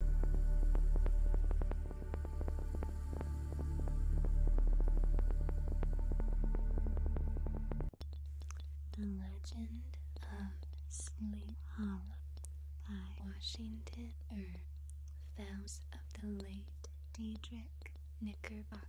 The Legend of Sleep Hollow by Washington Irving. Vows of the late Diedrich Knickerbocker.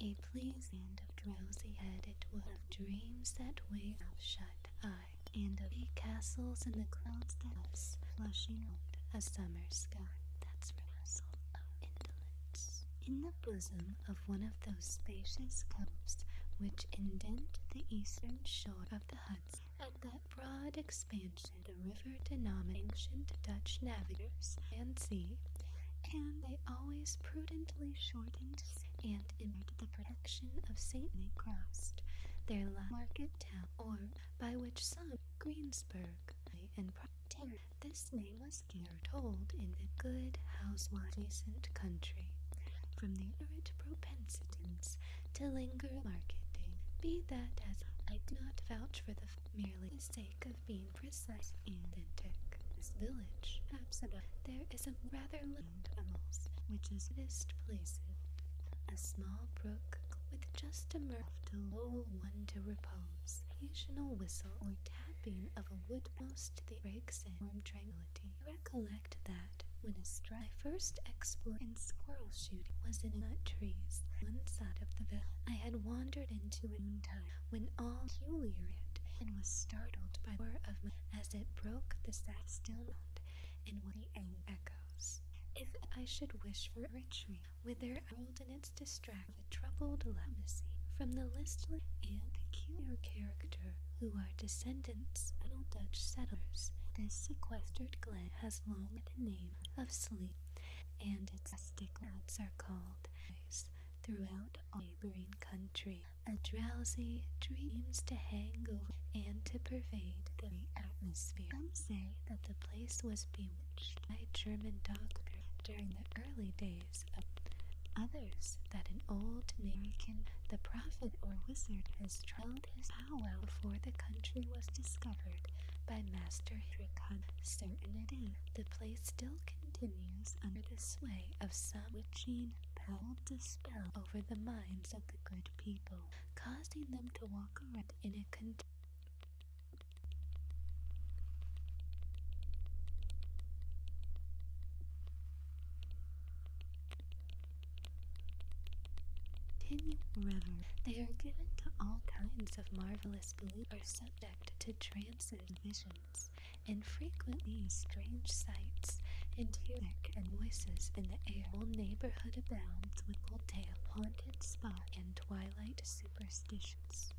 A pleasing of drowsy headed it of dreams that way of shut eyes sky, and the castles in the clouds that us, flushing out a summer sky. That's castle of indolence. In the bosom of one of those spacious coasts which indent the eastern shore of the Hudson, at that broad expansion the river denominated Dutch navigators and sea, and they always prudently shortened and imparted the protection of St. Crossed, their market town, or by which some Greensburg and Procter. This name was told in the good housewife adjacent country, from the urgent propensities to linger marketing. Be that as I do not vouch for the merely the sake of being precise and authentic. This village, Absaba, there is a rather land animals, which is this place. A small brook with just a murmur a lull one to repose. Occasional whistle or tapping of a wood most the breaks in warm tranquility. I recollect that when a first exploit in squirrel shooting was in nut trees, one side of the village. I had wandered into a noontime when all peculiar and was startled by the roar of my as it broke the sad stillness and with the echo. If I should wish for a retreat, whither old rolled in distract the troubled legacy from the listless and peculiar character who are descendants of old Dutch settlers, this sequestered glen has long the name of Sleep, and its rustic notes are called throughout all neighboring country. A drowsy dreams to hang over and to pervade the atmosphere. Some say that the place was bewitched by a German doctor during the early days of others that an old American, the prophet or wizard, has tried his powwow before the country was discovered by Master Hendrikon Certainty. The place still continues under the sway of some witching power to spell over the minds of the good people, causing them to walk around in a container. River. They are given to all kinds of marvelous beliefs, are subject to trance and visions, and frequently strange sights, and hear and voices in the air. The neighborhood abounds with haunted spot, and twilight superstitions.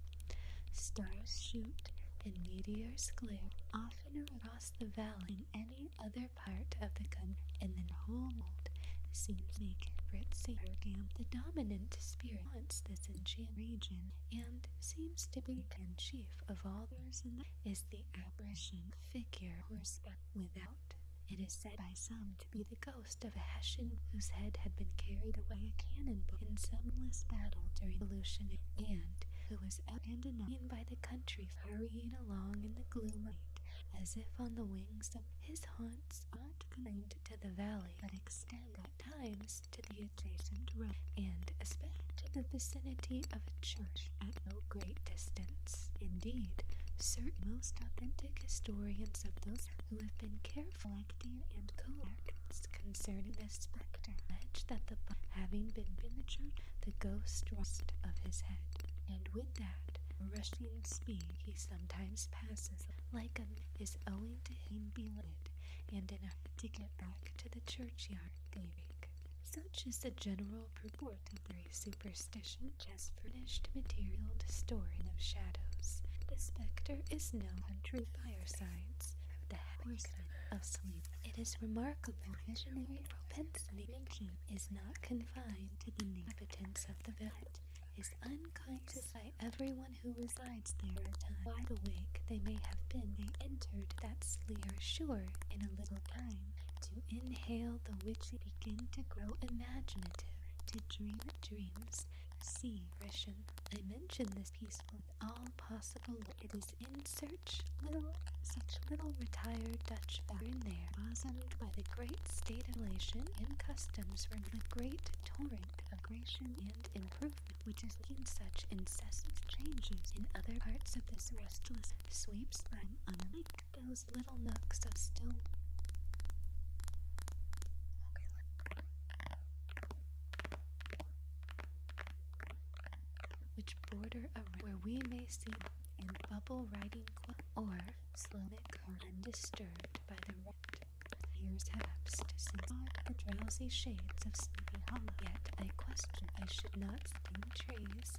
Stars shoot and meteors glare oftener across the valley than any other part of the country, and the whole world seems naked. Britsigam, the dominant spirit, haunts this enchanted region and seems to be in chief of all those in the is the apparition figure horseback without. It is said by some to be the ghost of a Hessian whose head had been carried away a cannonball in some someless battle during the Revolution, and who was abandoned by the country, hurrying along in the gloom of night, as if on the wings of his haunts, not claimed to the valley but extend at times to the adjacent road, and especially to the vicinity of a church at no great distance. Indeed, certain most authentic historians of those who have been careful acting and co concerning this spectre allege that the having been miniature, the ghost rushed of his head, and with that rushing speed he sometimes passes like him is owing to him being beloved and enough to get back to the churchyard gate. Such is the general purport of the superstition has furnished material to store in of shadows. The spectre is known on true firesides of the horseman sleep. It is remarkable that visionary propensity making is not confined to the inhabitants of the village. It is Is unconscious by everyone who resides there Wide awake they may have been, they entered that sleer sure in a little time to inhale the which begin to grow imaginative to dream dreams. See, Grisham, I mention this piece with all possible love. It is in search little such little retired Dutch in there, bosomed by the great state of relation and customs from the great torrent of creation and improvement which has seen such incessant changes in other parts of this restless sweep, time on a lake those little nooks of stone, which border around where we may see in bubble riding or slumber undisturbed by the wrecked years lapsed to are the drowsy shades of Sleepy Hollow. Yet I question I should not sting trees,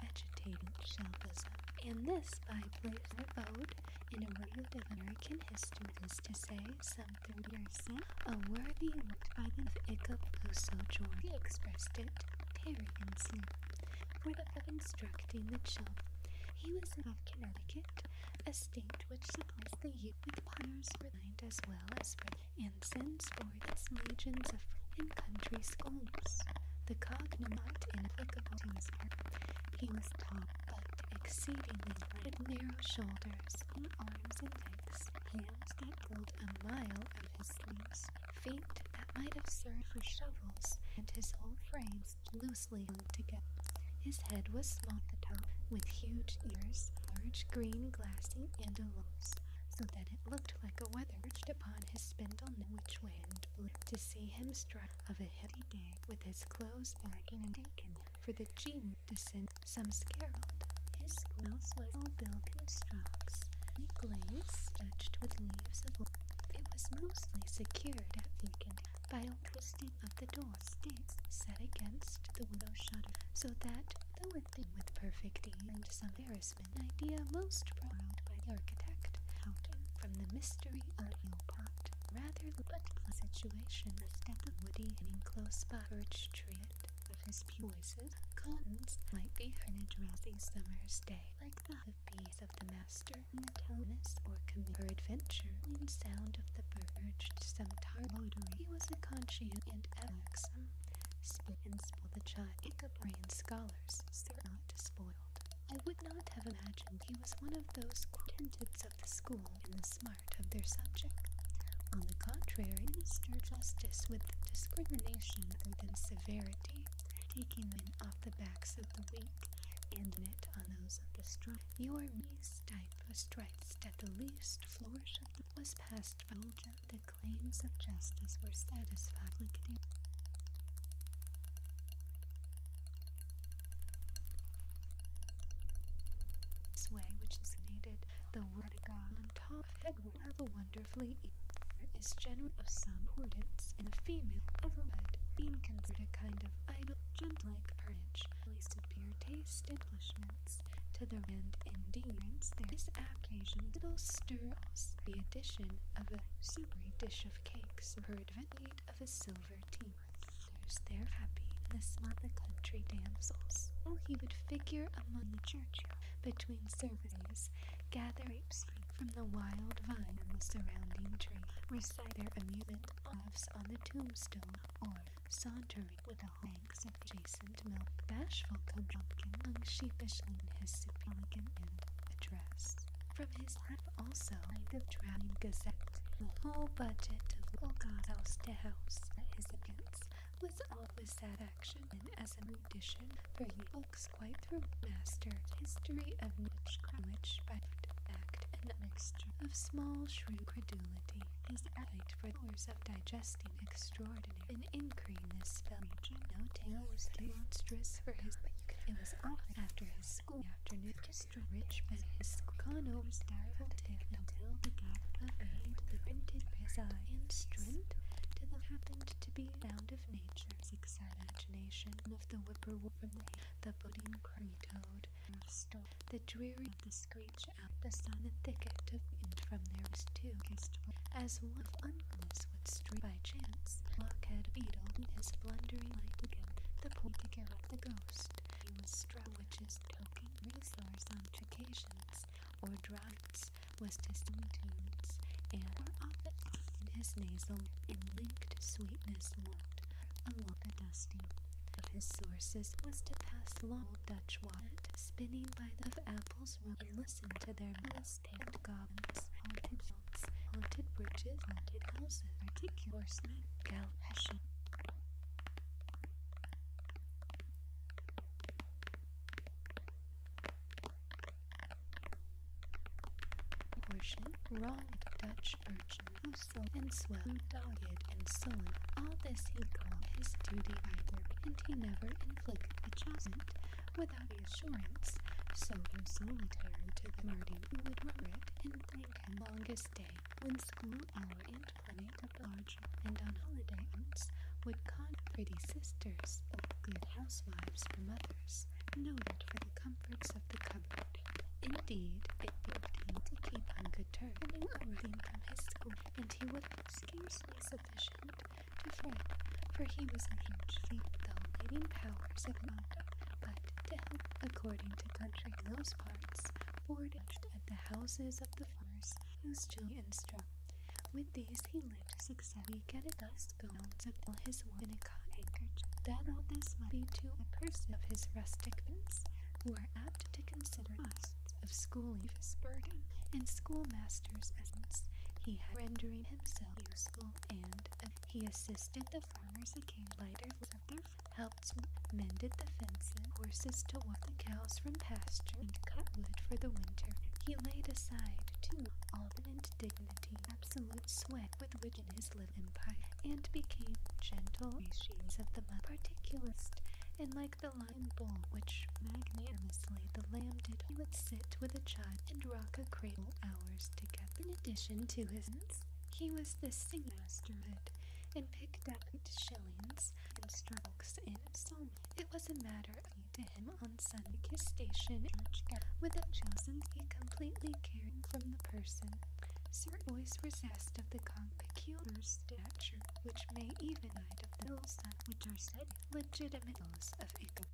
vegetating shelfism. And this by place repose in a word of American history is to say some thirty something piercing. A worthy worked by of Ichabloso George he expressed it Perrianson for the of instructing the children. He was of Connecticut, a state which supplies the youth with choirs for mind as well as for and sends forth its legions of country schools. The cognomen inapplicable to his art he was tall, but exceedingly large, with narrow shoulders, long arms and legs, hands that pulled a mile of his sleeves, feet that might have served for shovels, and his whole frame loosely hung together. His head was small at the top, with huge ears, large green glassy antelopes, so that it looked like a weather perched upon his spindle which wind blew to see him strike of a hill with his clothes back in a dakin for the genie to send some scarold. His quills was all silken straws, and glaze touched with leaves of wood. It was mostly secured at Viken by a twisting of the door sticks set against the window shutter, so that, the it with perfect ease and some embarrassment, idea most proud by the architect, out from the mystery of Rather, the but situation the step of woody and enclosed by birch treat the his choicest cottons might be on a drowsy summer's day, like the of bees of the master in the towness or commute or adventure, lean sound of the urged some He was a conscient and exum, some and spoil the child, Icabrian scholars, sir not spoiled. I would not have imagined he was one of those quintets of the school in the smart of their subject. On the contrary, Mr. justice with discrimination rather than severity, taking men off the backs of the weak and knit on those of the strong. Your meese type was stripes at the least flourish was passed by Belgium. The claims of justice were satisfied. This way, which is needed, the vertigon on top of head will have a wonderfully is generally of some importance in the female of a bed being considered a kind of idle, gem-like perch, really superior taste and nourishments to the end, endurance. There is occasion little stir the addition of a superb dish of cakes, or advent of a silver team. There's their happiness among the country damsels. Oh, he would figure among the churchyard between services, gather grapes from the wild vine on the surrounding tree, recite their amusement laughs on the tombstone, or sauntering with the hanks of adjacent milk. Bashful come pumpkin hung in his superior and address. From his I have also kind of drowning Gazette. The whole budget of little god house to house at his against was always that action, and as an audition for you books quite through master history of witchcraft, which by fact and mixture of small shrew credulity, his appetite for hours of digesting extraordinary and increasing this spell region. No tale was too monstrous for his, but you can. It was often after his school afternoon, just a rich man has gone over stifled him until the gap of the printed bazaar, and strength to the happened to be bound of nature's exaggeration of the whippoorwill from the the budding curry toad, store, the dreary of the screech out, the silent thicket of wind from their was too, as one of would street by chance. Blockhead Beetle blundering light again, the pointer of the ghost. He was struck which is token resource on occasions, or drugs, was to tunes, and or often in his nasal and linked sweetness walked along a dusty of his sources was to pass long Dutch water spinning by the of apples and listened to their mist-tailed goblins fields, haunted bridges, haunted houses, particular horsemen, gal, Portion, wrong Dutch urchin, who sold and swelled, dogged and sullen. All this he called his duty either, and he never inflicted a chasment without assurance so he insolitary to the Martin who would rubber it and like longest day when school hour and clinic at large and on holiday outs would con pretty sisters of good housewives for mothers, noted for the comforts of the cupboard. Indeed, it would to keep on good terms, having earning from his school, and he was have scarcely sufficient to fret, for he was a huge feat with leading powers of mind, but according to country those parts, boarded at the houses of the farmers whose children instruct. With these he lived successfully, getting thus bounds of all his work in a cotton handkerchief. That all this might be to a person of his rustic parents, who are apt to consider costs of schooling as burden, and schoolmasters as he had rendering himself useful, and he assisted the farmers a king lighter settlers helped mended the fences, horses to walk the cows from pasture, and cut wood for the winter. He laid aside, too, all eminent dignity, absolute sweat with which in his little pie, and became gentle species of the particularist, and like the lion bull, which magnanimously the lamb did, he would sit with a child and rock a cradle hours together. In addition to his he was the singmaster of it, and picked out shillings and strokes in psalm. It was a matter of to him on Sunday his station church. a chosen, he completely caring from the person. Sir always was asked of the peculiar stature, which may even hide of which are said legitimate hills of Ichabod.